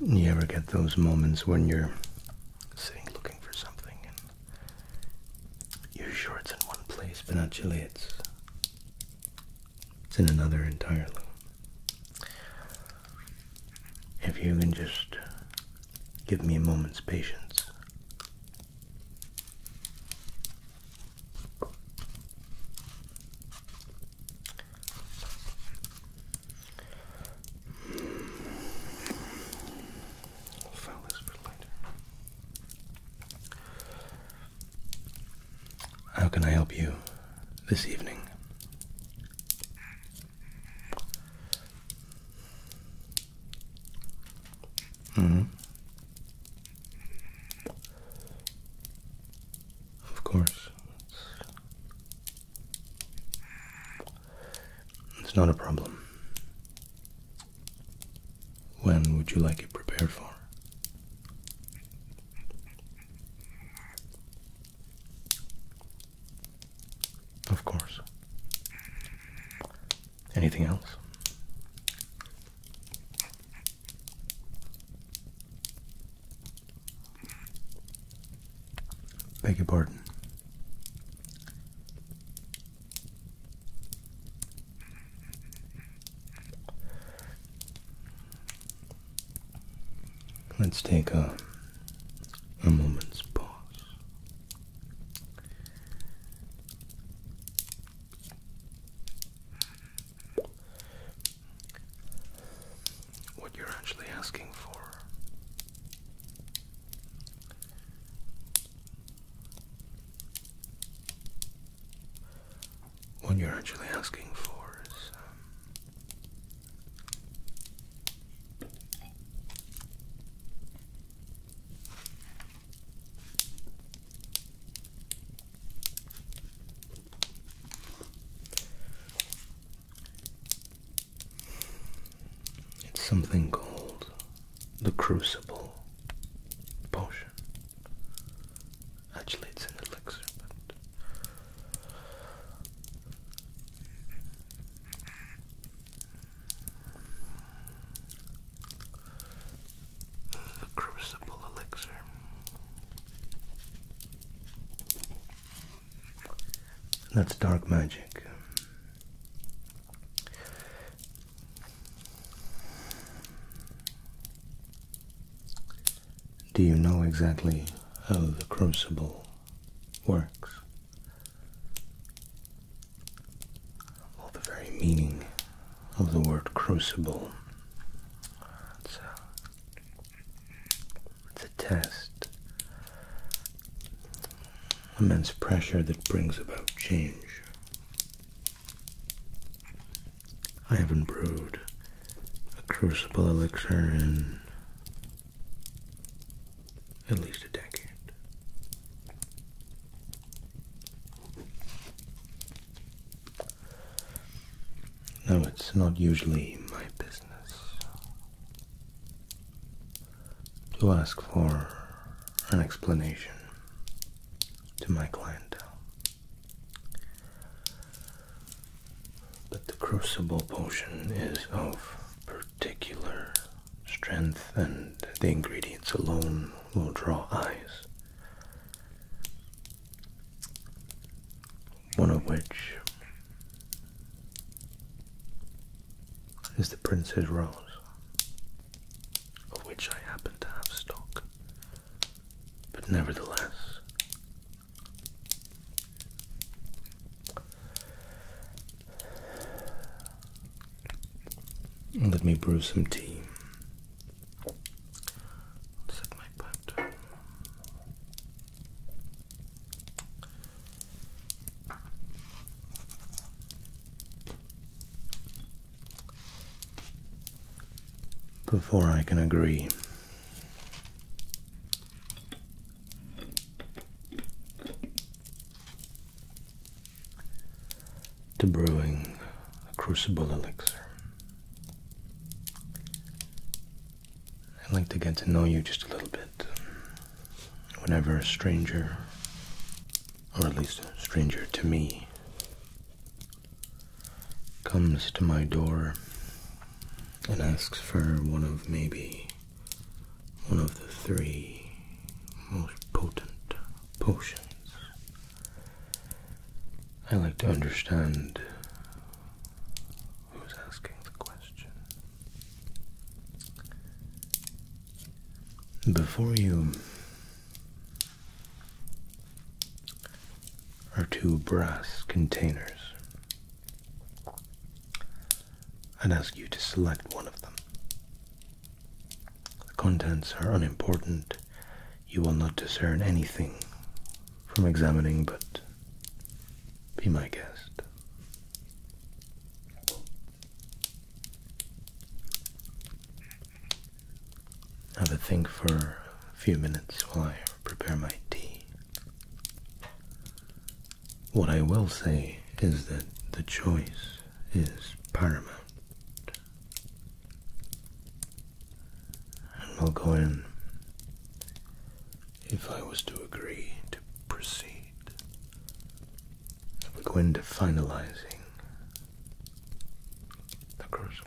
You ever get those moments when you're sitting looking for something and you're sure it's in one place, but actually it's it's in another entirely. If you can just give me a moment's patience. How can I help you this evening? Mm-hmm. Of course. It's not a problem. When would you like it prepared for? Of course. Anything else? Beg your pardon. Let's take a, a moment's pause what you're actually asking for. What you're actually asking for is um, it's something called the Crucible Potion. Actually, it's an elixir, but. The Crucible Elixir. That's dark magic. Do you know exactly how the crucible works? Well, the very meaning of the word crucible. It's a test, immense pressure that brings about change. I haven't brewed a crucible elixir in at least a decade. No, it's not usually my business to ask for an explanation to my clientele. But the crucible potion is of particular strength, and the ingredients alone will draw eyes. One of which is the Princess Rose, of which I happen to have stock. But nevertheless, let me brew some tea. Set my pipe down before I can agree. To brewing a crucible elixir. I'd like to get to know you just a little bit. Whenever a stranger, or at least a stranger to me, comes to my door and asks for one of maybe one of the three most potent potions, I like to understand who's asking the question. Before you are two brass containers. I'd ask you to select one of them. The contents are unimportant. You will not discern anything from examining but be my guest. Have a think for a few minutes while I prepare my tea. What I will say is that the choice is paramount. And we'll go in if I was to agree to proceed. we go into finalizing the crucible.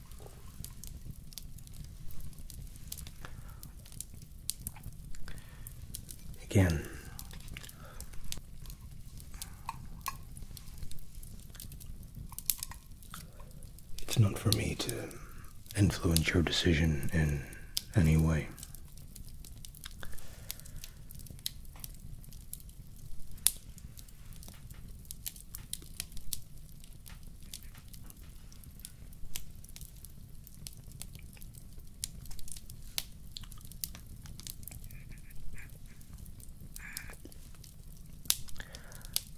Again, it's not for me to influence your decision in any way.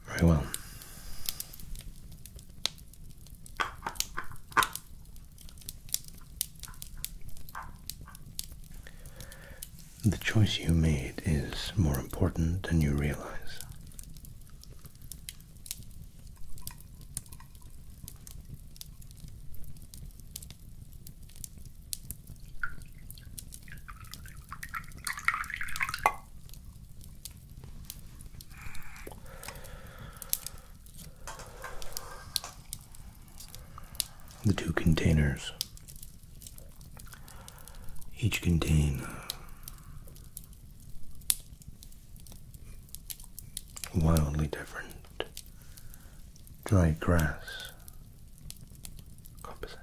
Very well. The choice you made is more important than you realize. The two containers each contain uh, wildly different dry grass composite.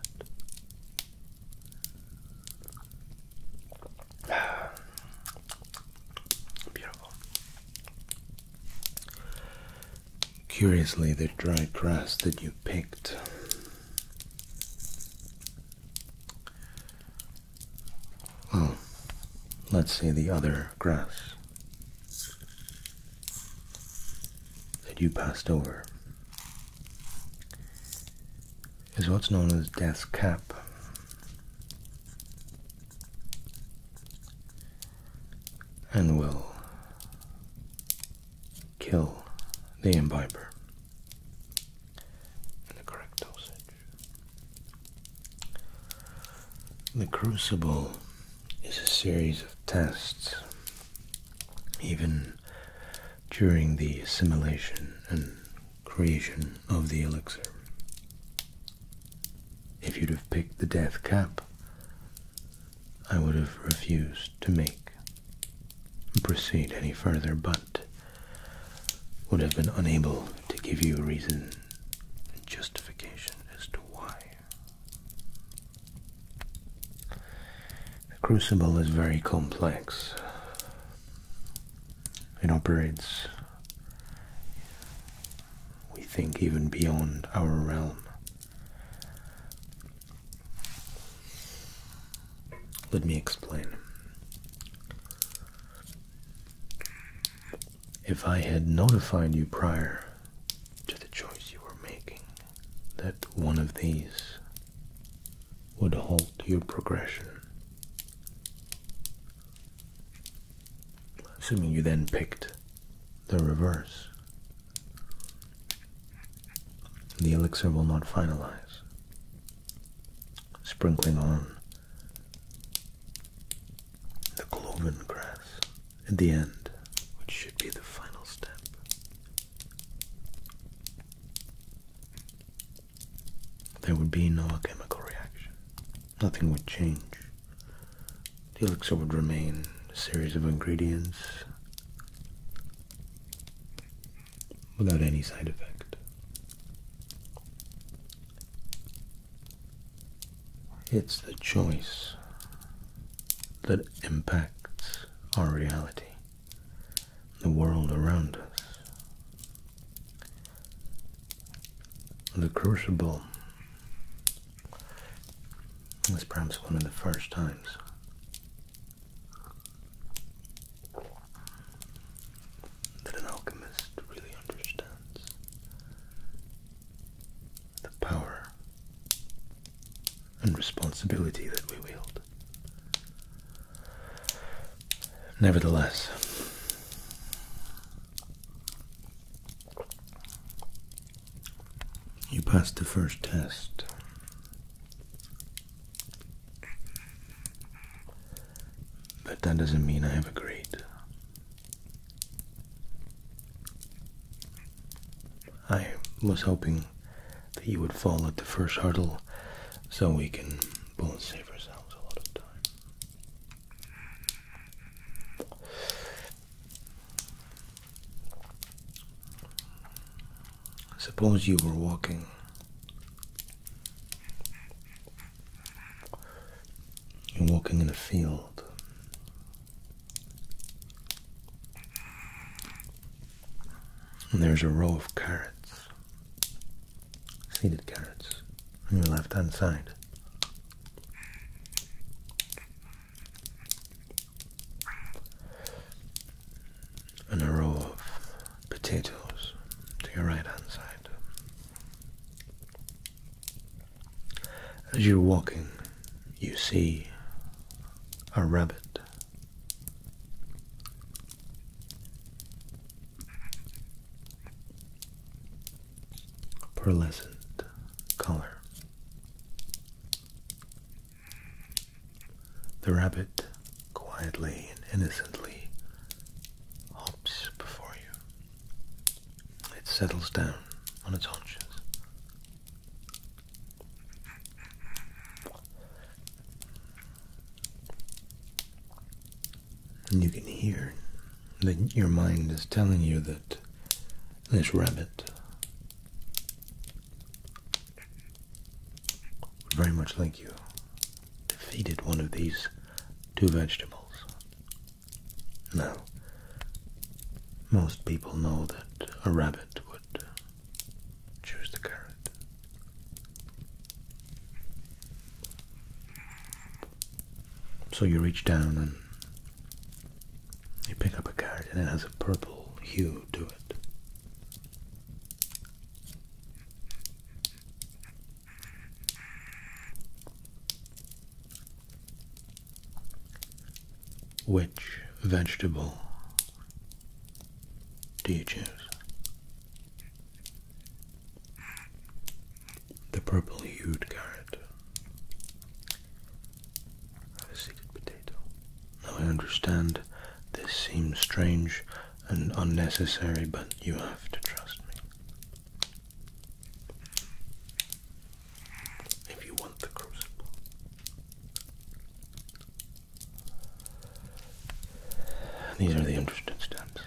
Beautiful. Curiously, the dry grass that you picked well, oh, let's see the other grass that you passed over is what's known as death's cap. And will kill the invader the correct dosage. The Crucible is a series of tests, even during the assimilation and creation of the elixir. If you'd have picked the Death Cap, I would have refused to make proceed any further, but would have been unable to give you a reason and justification as to why. The crucible is very complex. It operates, we think, even beyond our realm. Let me explain. If I had notified you prior to the choice you were making that one of these would halt your progression, assuming you then picked the reverse, the elixir will not finalize sprinkling on the cloven grass at the end, which should be the final step. There would be no chemical reaction. Nothing would change. The elixir would remain a series of ingredients without any side effect. It's the choice that impacts our reality, the world around us. The Crucible was perhaps one of the first times that an alchemist really understands the power and responsibility that we wield. Nevertheless, you passed the first test. But that doesn't mean I have agreed. I was hoping that you would fall at the first hurdle so we can both save ourselves a lot of time. Suppose you were walking you're walking in a field and there's a row of carrots seeded carrots on your left hand side and a row of potatoes to your right hand side. As you're walking, you see a rabbit. pearlescent color the rabbit quietly and innocently hops before you. It settles down on its haunches. And you can hear that your mind is telling you that this rabbit would very much like you defeated one of these two vegetables. Now, most people know that a rabbit would uh, choose the carrot. So you reach down and you pick up a carrot and it has a purple hue to it. Which vegetable do you choose? The purple hued carrot. A seeded potato. Now I understand this seems strange and unnecessary, but you have to trust me. If you want the crucible. These are the interesting steps.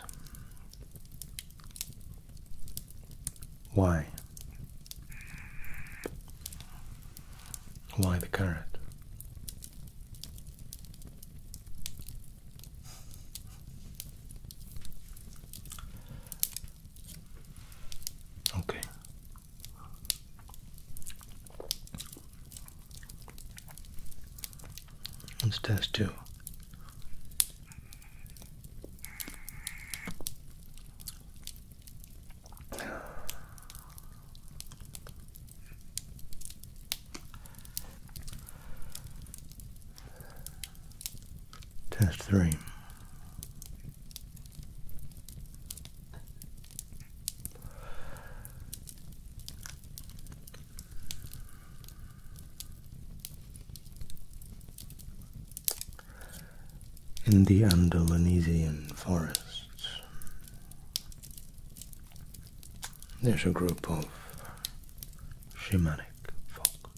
Why? Why the carrot? Okay. Let's test two. Test three. In the Andalusian forests, there's a group of shamanic folk.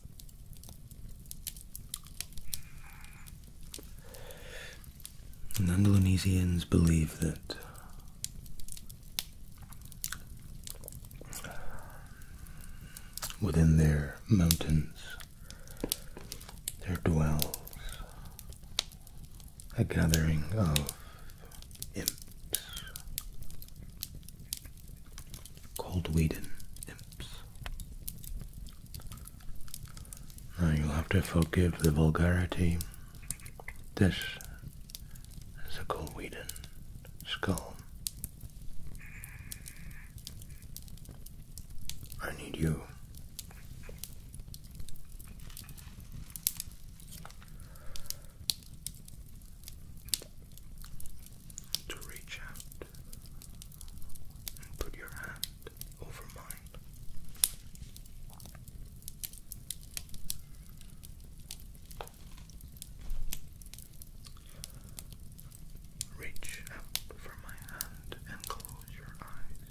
And Indonesians believe that um, within their mountains there dwells a gathering of imps. Coldweden imps. Now you'll have to forgive the vulgarity. This is a Coldweden skull. I need you to reach out and put your hand over mine. Reach out for my hand and close your eyes.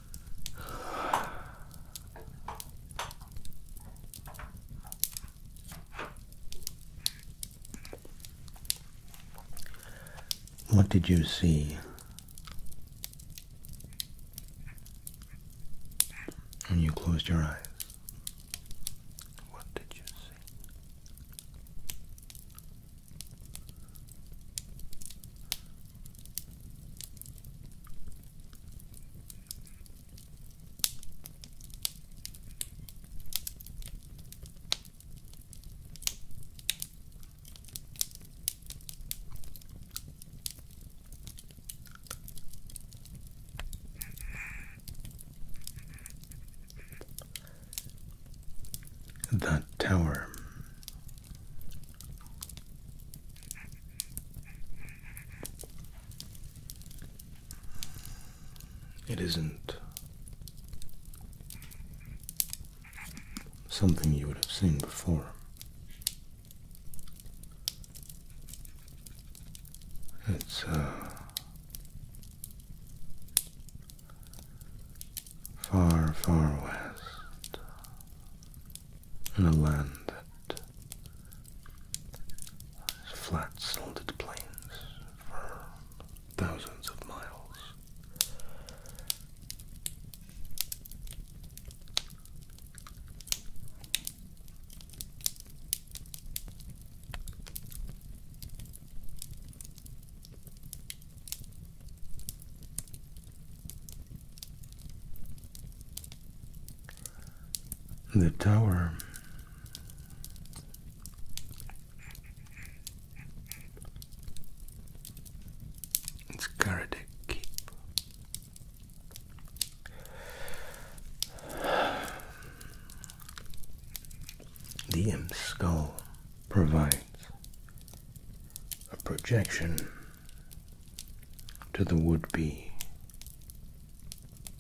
What did you see? When you closed your eyes, what did you see? The tower. It isn't something you would have seen before. It's uh, far, far west in a land that has flat, silted plains for thousands of miles. The tower. It's Karate Keep. The imp skull provides a projection to the would be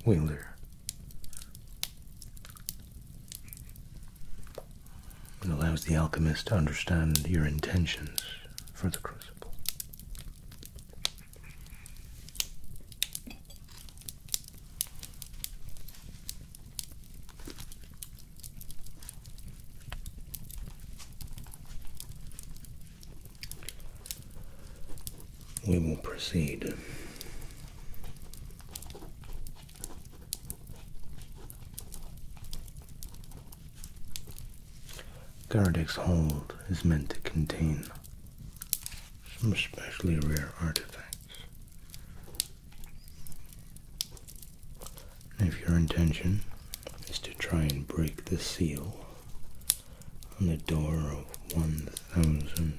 wielder. It allows the alchemist to understand your intentions for the crucible we will proceed. Gardeck's hold is meant to contain some especially rare artifacts. If your intention is to try and break the seal, on the door of one thousand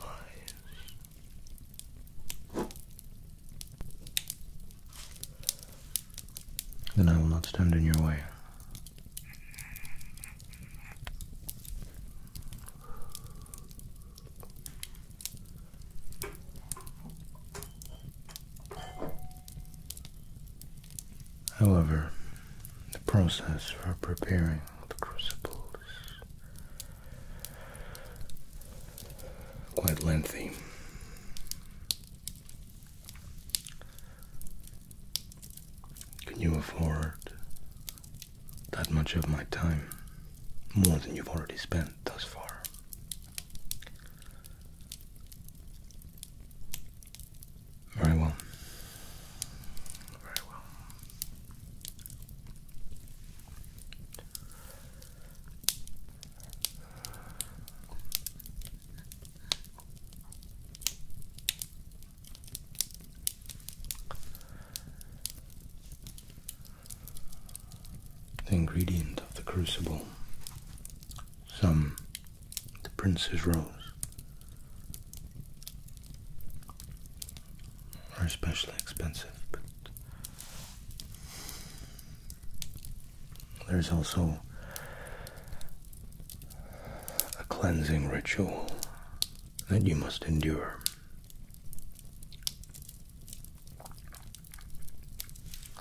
lies. Then I will not stand in your way. However, the process for preparing the crucibles is quite lengthy. Can you afford that much of my time? More than you've already spent thus far. Very well. Very well. The ingredient of the crucible, some the princess rose. Are especially expensive, but there's also a cleansing ritual that you must endure.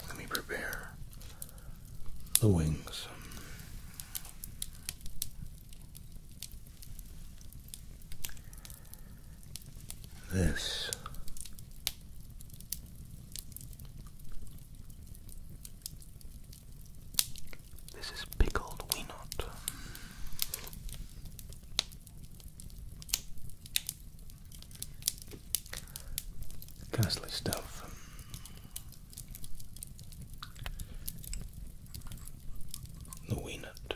Let me prepare the wings. This this is pickled weenot. Ghastly stuff the Weenut.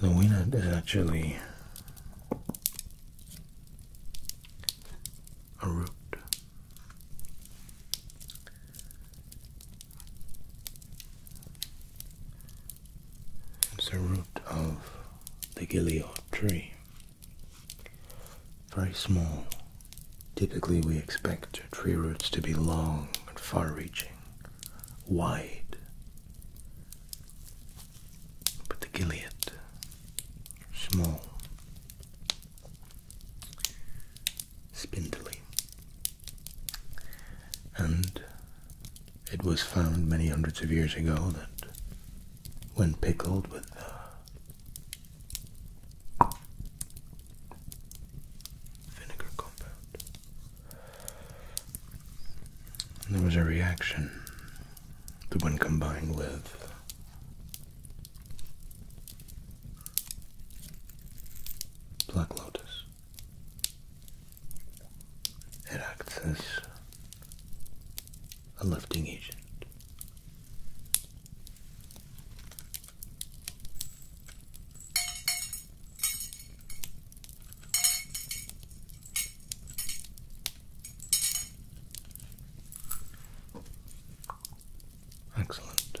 The Weenut is actually a root it's a root of the Gilead tree. Very small. Typically, we expect tree roots to be long and far reaching, wide. But the Gilead, small spindly. And it was found many hundreds of years ago that when pickled with uh, vinegar compound, there was a reaction that when combined with Black Lotus. It acts as a lifting agent. Excellent.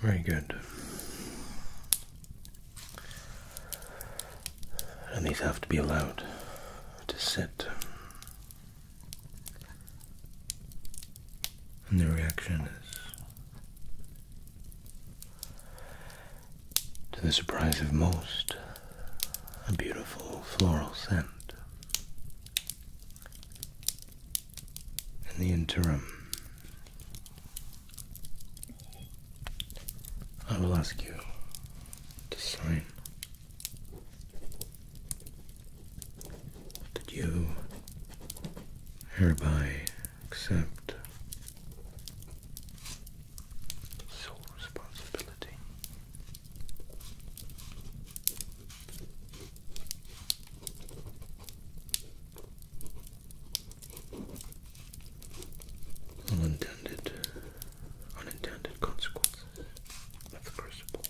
Very good. And these have to be allowed to sit. And the reaction is to the surprise of most, a beautiful floral scent. In the interim, I will ask you to sign that you hereby accept sole responsibility. Unintended, unintended consequences of the crucible.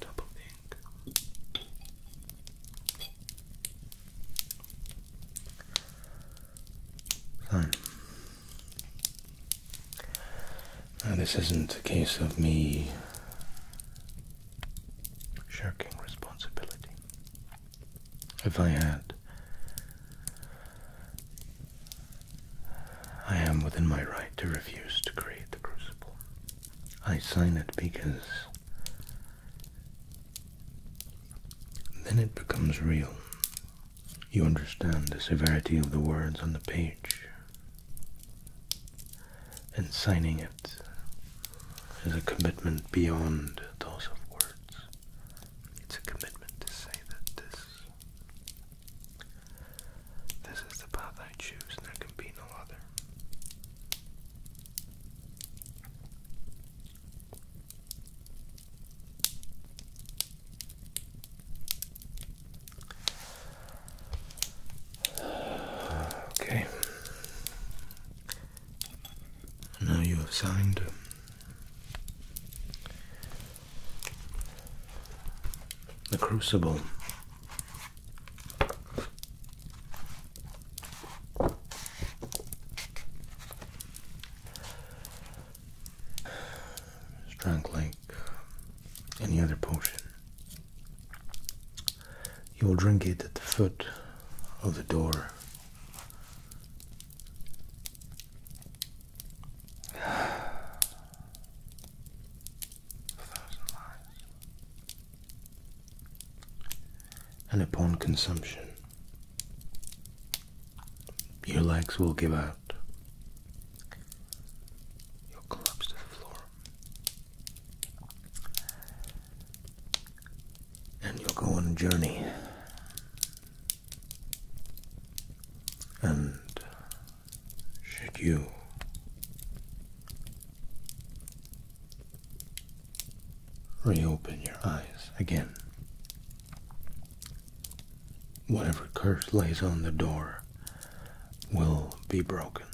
Double ink. Fine. Now, this isn't a case of me shirking responsibility if I had. I am within my right to refuse to create the crucible. I sign it because then it becomes real. You understand the severity of the words on the page. And signing it is a commitment beyond those of words. It's a commitment to say that this this is the path I choose and there can be no other. Okay. Now you have signed. The Crucible. Strength like any other potion. You will drink it at the foot of the door a thousand lives. And upon consumption, your legs will give out. You'll collapse to the floor and you'll go on a journey. And should you reopen your eyes again, whatever curse lays on the door will be broken.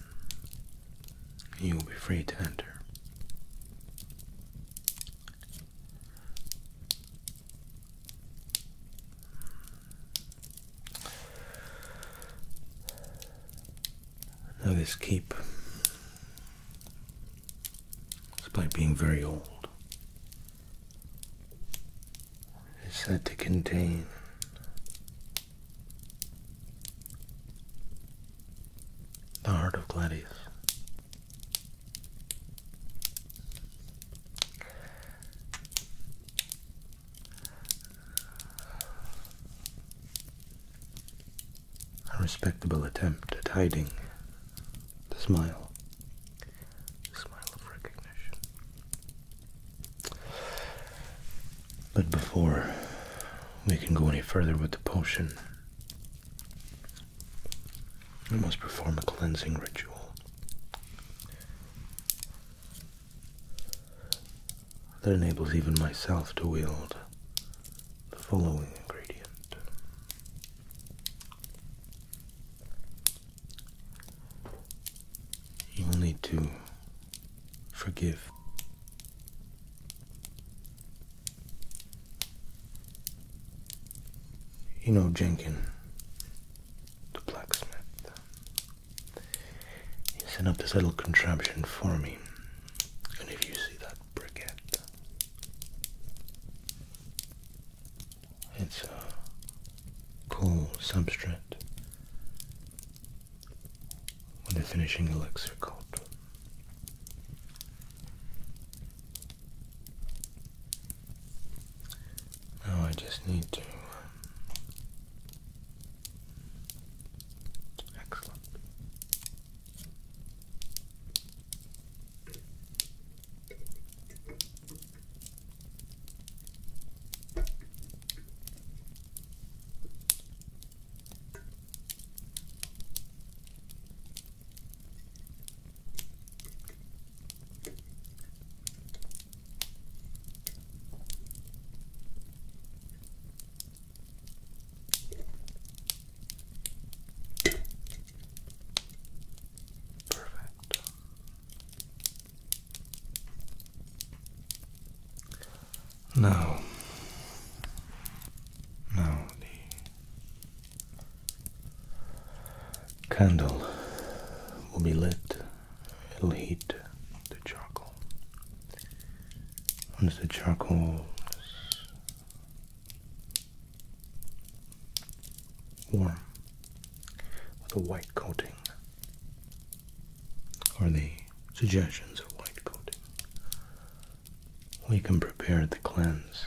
You'll be free to enter. Now this keep, despite being very old, is said to contain the heart of Gladius. A respectable attempt at hiding the smile, the smile of recognition. But before we can go any further with the potion, we must perform a cleansing ritual. That enables even myself to wield the following ingredient you will need to forgive you know Jenkin, the blacksmith. He set up this little contraption for me. And if you see that briquette, it's a cool substrate with a finishing elixir coat. Now I just need to. Um, excellent. Perfect. Now, now the candle will be lit. It'll heat the charcoal. Once the charcoal is warm with a white coating, or the suggestions of white coating, we can prepare the cleanse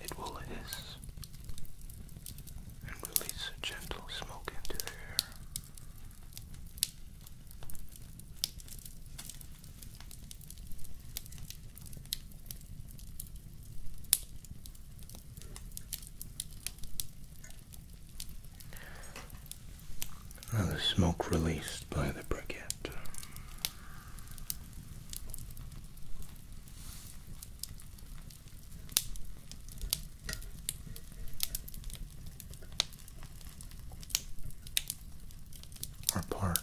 It will hiss and release a gentle smoke into the air. Now the smoke released by the briquette are part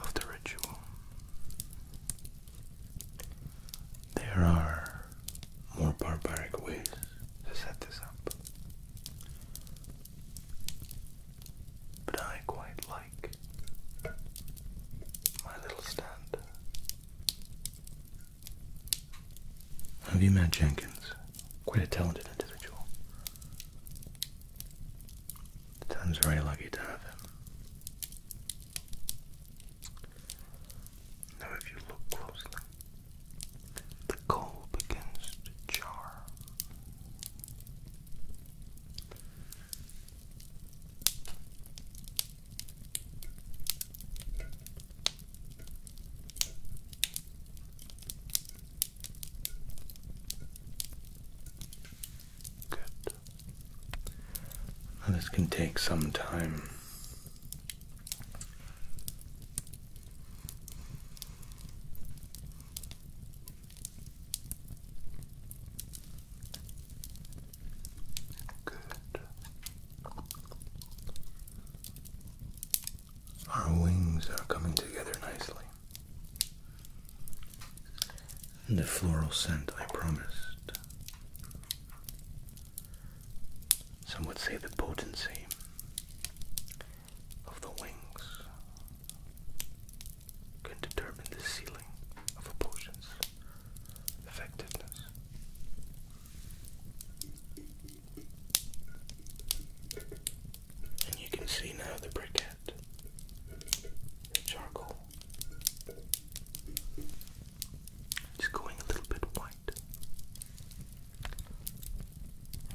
of the ritual. There are more barbaric ways to set this up. But I quite like my little stand. Have you met Jenkins? Quite a talented individual. The town's very lucky to have him. Now, if you look closely, the coal begins to jar. Good. Now this can take some time. Good. Our wings are coming together nicely. The floral scent I promised some would say the potency of the wings can determine the ceiling of a potion's effectiveness. And you can see now the briquette, the charcoal. It's going a little bit white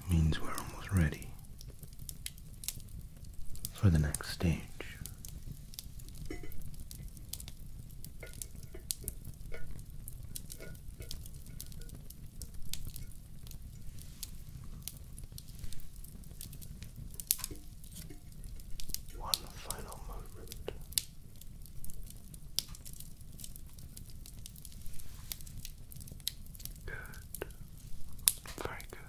means we're almost ready for the next stage. One final movement. Good. Very good.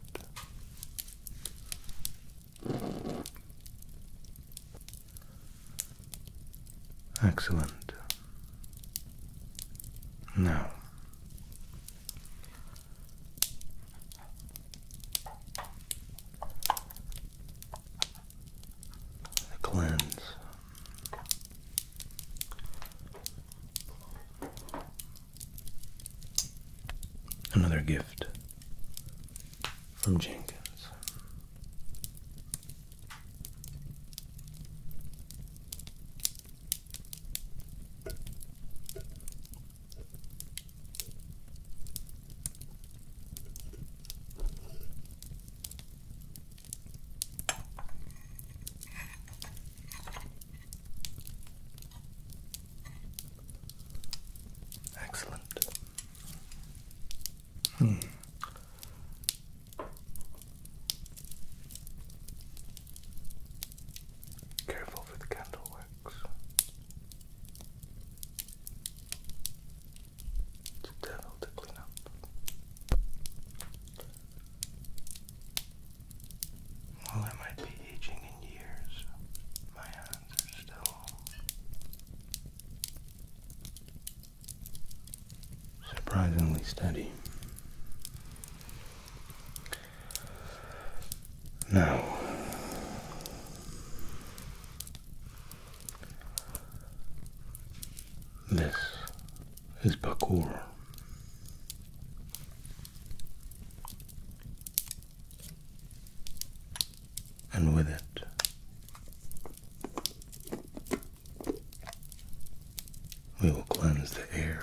Excellent. Now. cleanse Another gift from Jenkins. Excellent. Hmm. Careful with the candle wax. It's a devil to clean up. While I might be aging in years, my hands are still surprisingly steady. Now, this is parkour. And with it, we will cleanse the air.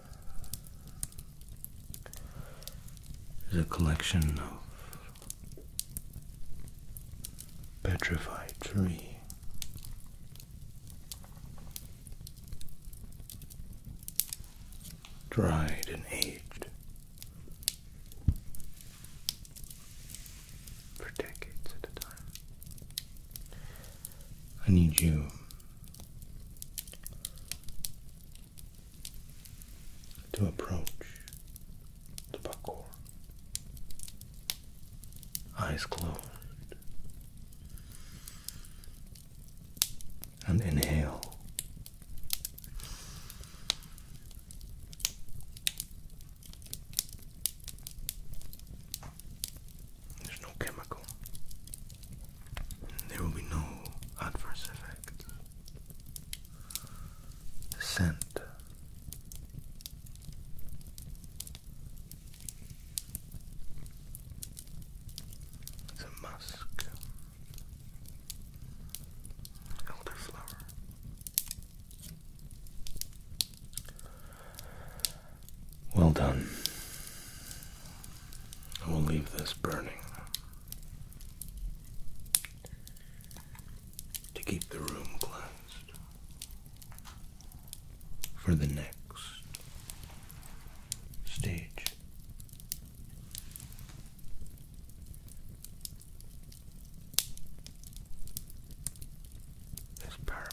is a collection of petrified tree. Dried and aged for decades at a time. I need you to approach the parkour. Eyes closed. And inhale. There's no chemical. There will be no adverse effect. The scent it's a musk, elderflower. Well done. I will leave this burning to keep the room cleansed for the next stage. Is paramount.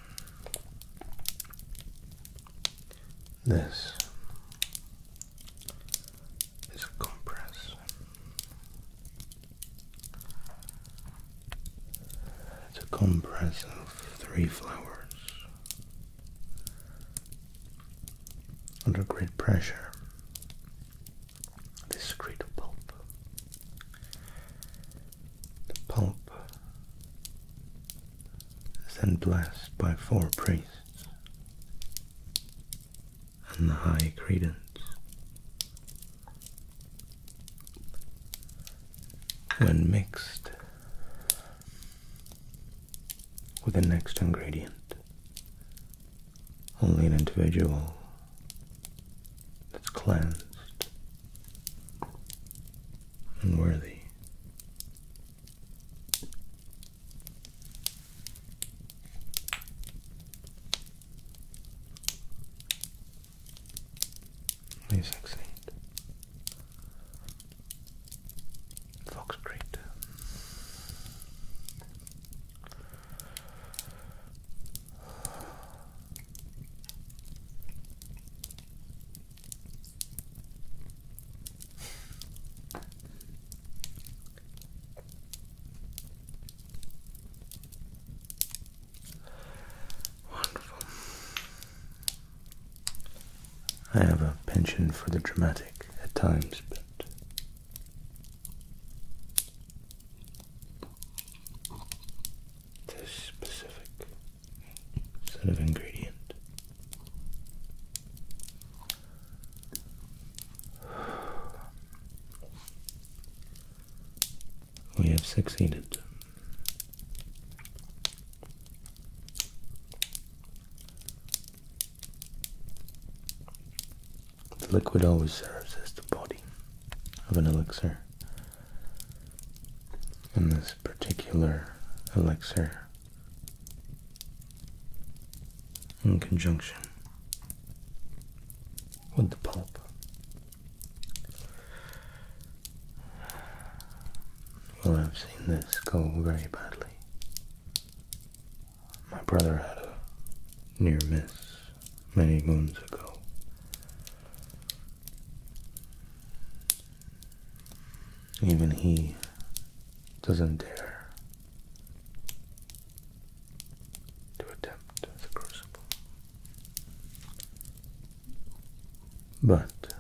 This is a compress. It's a compress of three flowers under great pressure. They secrete pulp the pulp is then blessed by four priests, and the high credence when mixed with the next ingredient, only an individual that's cleansed Unworthy. worthy. succeed. Fox Creek. Wonderful. I have a penchant for the dramatic at times, but. This specific set of ingredient. We have succeeded. The liquid always serves as the body of an elixir. And this particular elixir in conjunction with the pulp. Well, I've seen this go very badly. My brother had a near miss many moons ago. Even he doesn't dare to attempt the crucible. But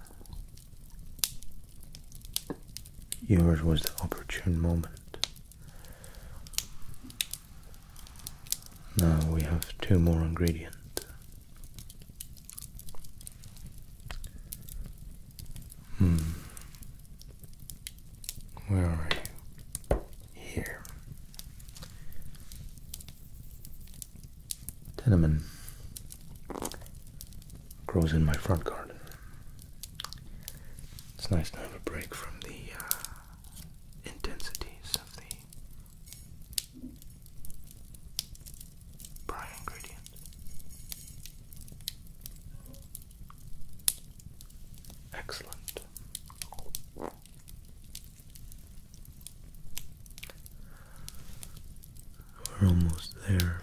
yours was the opportune moment. Now we have two more ingredients Hmm. Where are you? Here. Tenement grows in my front garden. It's nice to have a break from the uh, intensities of the Prime ingredient. Excellent. We're almost there.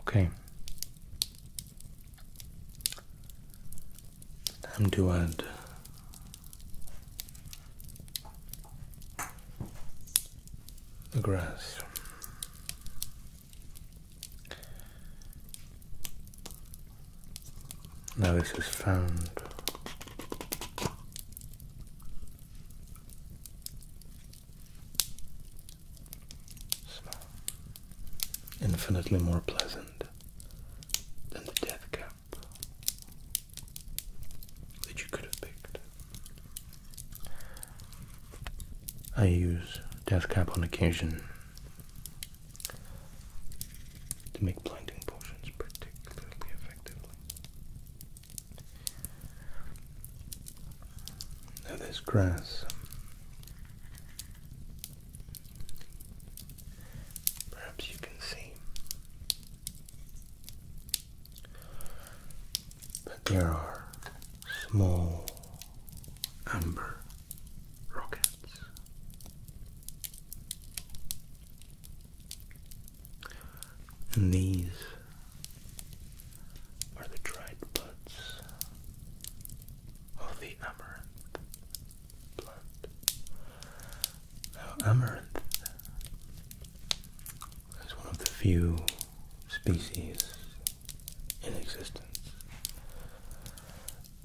Okay. Time to add the grass. Now this is found smell infinitely more pleasant than the death cap that you could have picked. I use death cap on occasion to make blinding potions particularly effectively there's grass. Perhaps you can see. But there are small amber rockets. And these are the dried buds of oh, the amaranth Now, amaranth is one of the few species in existence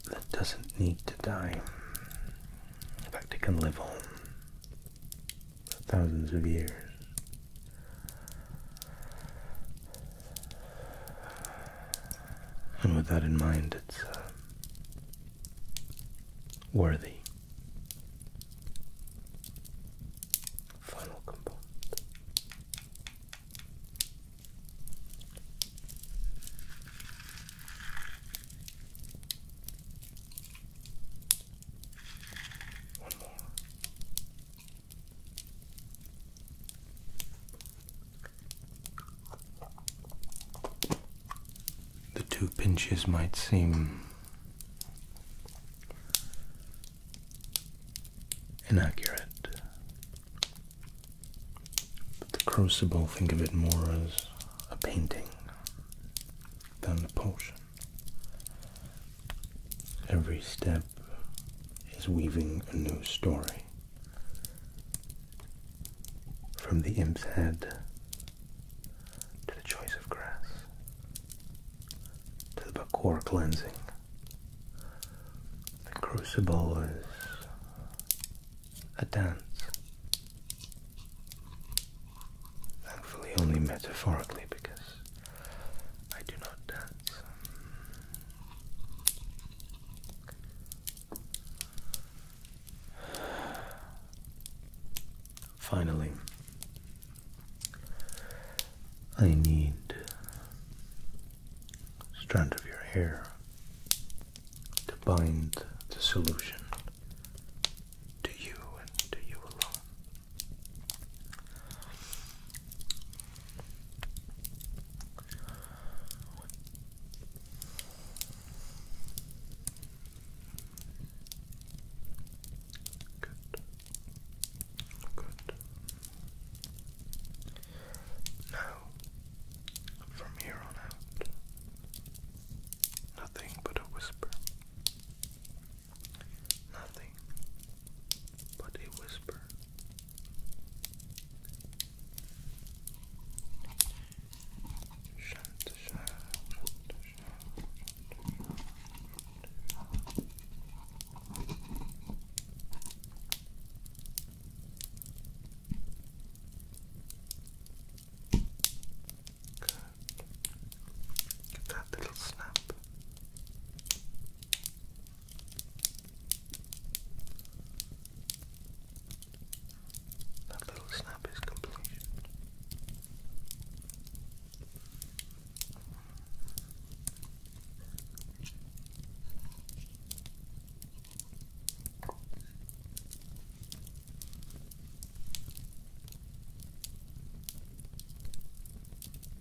that doesn't need to die. In fact, it can live on for thousands of years and with that in mind, it's uh, worthy. Final component. One more. The two pinches might seem inaccurate, but the Crucible think of it more as a painting than a potion. Every step is weaving a new story. From the imp's head to the choice of grass to the bakor cleansing. The crucible is a dance. Thankfully, only metaphorically because I do not dance. Finally, I need a strand of your hair to bind the solution to you and to you alone. Good. Good. Now, from here on out, nothing but a whisper. Nothing but a whisper. Shanta, shanta, shanta, shanta, shanta. Good. Get that little snap. That little snap is completion. Now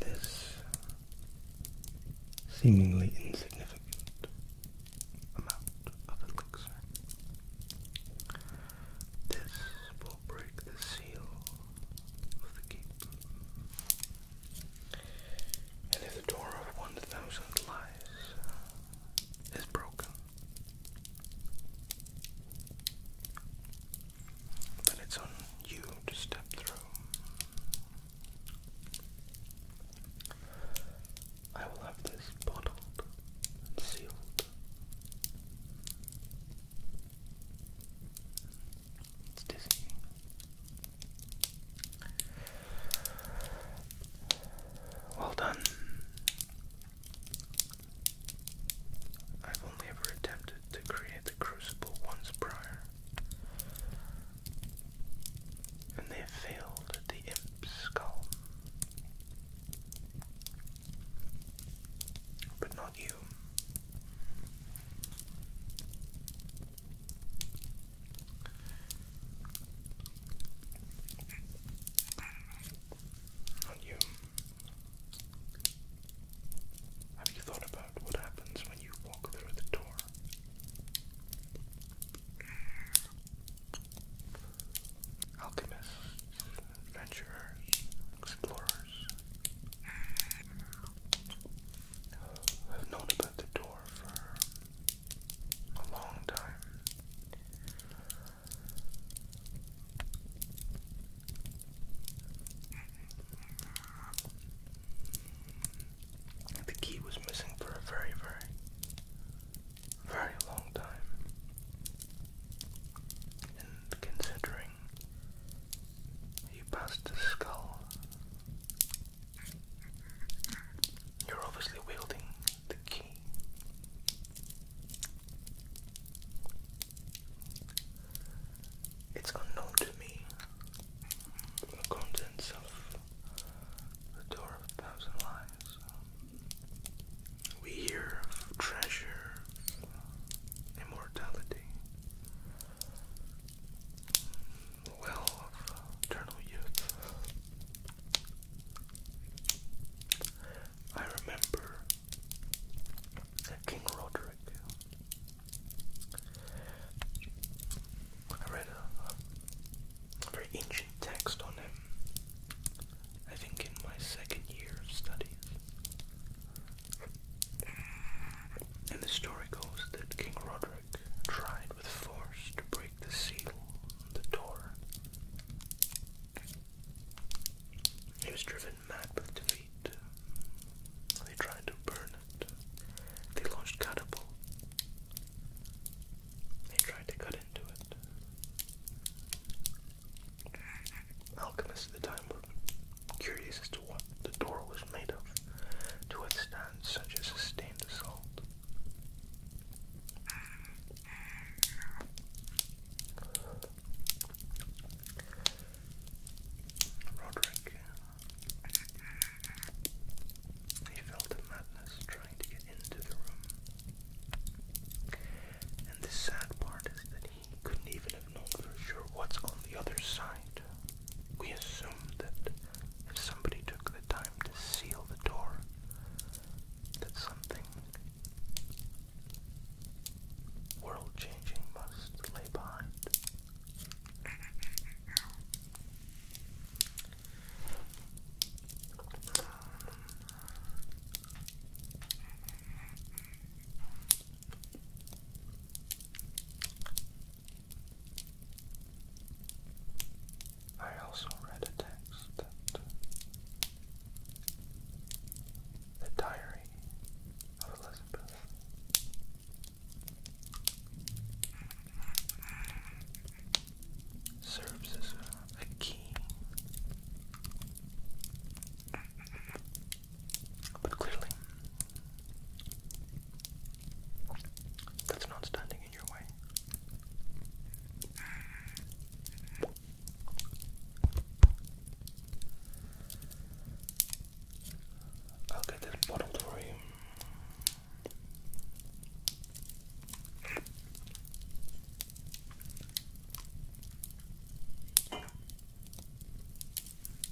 this seemingly insignificant amount of elixir this will break the seal of the keep. And if the door of 1000 lies uh, is broken, then it's on you to step through. I will have this bottled and sealed. It's dizzying. Well done. I've only ever attempted to create the crucible once prior, and they failed at the imp's column but not you. Not you. Have you thought about what happens when you walk through the door? Alchemists, adventurers, explorers, I've known about the door for a long time. The key was missing for a very, very, very long time. And considering you passed the skull. You're obviously wielding the key. It's unknown to me contents of the Door of Thousand Lies. We hear of treasure, immortality, well of eternal youth. I remember King Roderick. I read a very ancient text on him, I think in my second year of studies. And the story goes that King Roderick tried with force to break the seal on the door. He was driven mad with defeat. They tried to burn it. They launched catapult. They tried to cut into it. Alchemists at the time were curious as to what the door was made of to withstand such a sustained assault. Roderick, he felt a madness trying to get into the room. And the sad part is that he couldn't even have known for sure what's on the other side. We assumed that if somebody took the time to seal the door, that something world changing must lay behind. I also read a text uh, the diary of Elizabeth serves as a key but clearly, that's not standing in your way. I'll get this bottle for you.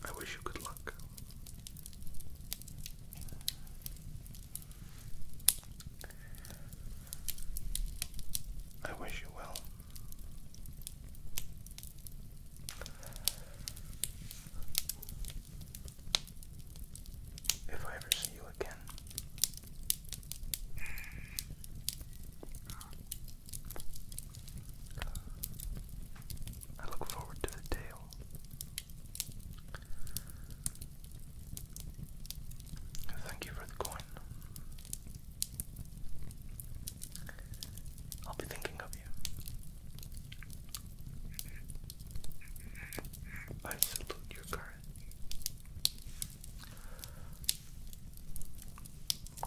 I wish you good luck. I wish you well. If I ever see you again, I look forward to the tale Thank you for the coin. I'll be thinking of you. I salute your courage.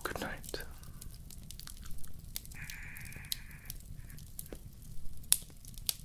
Good night.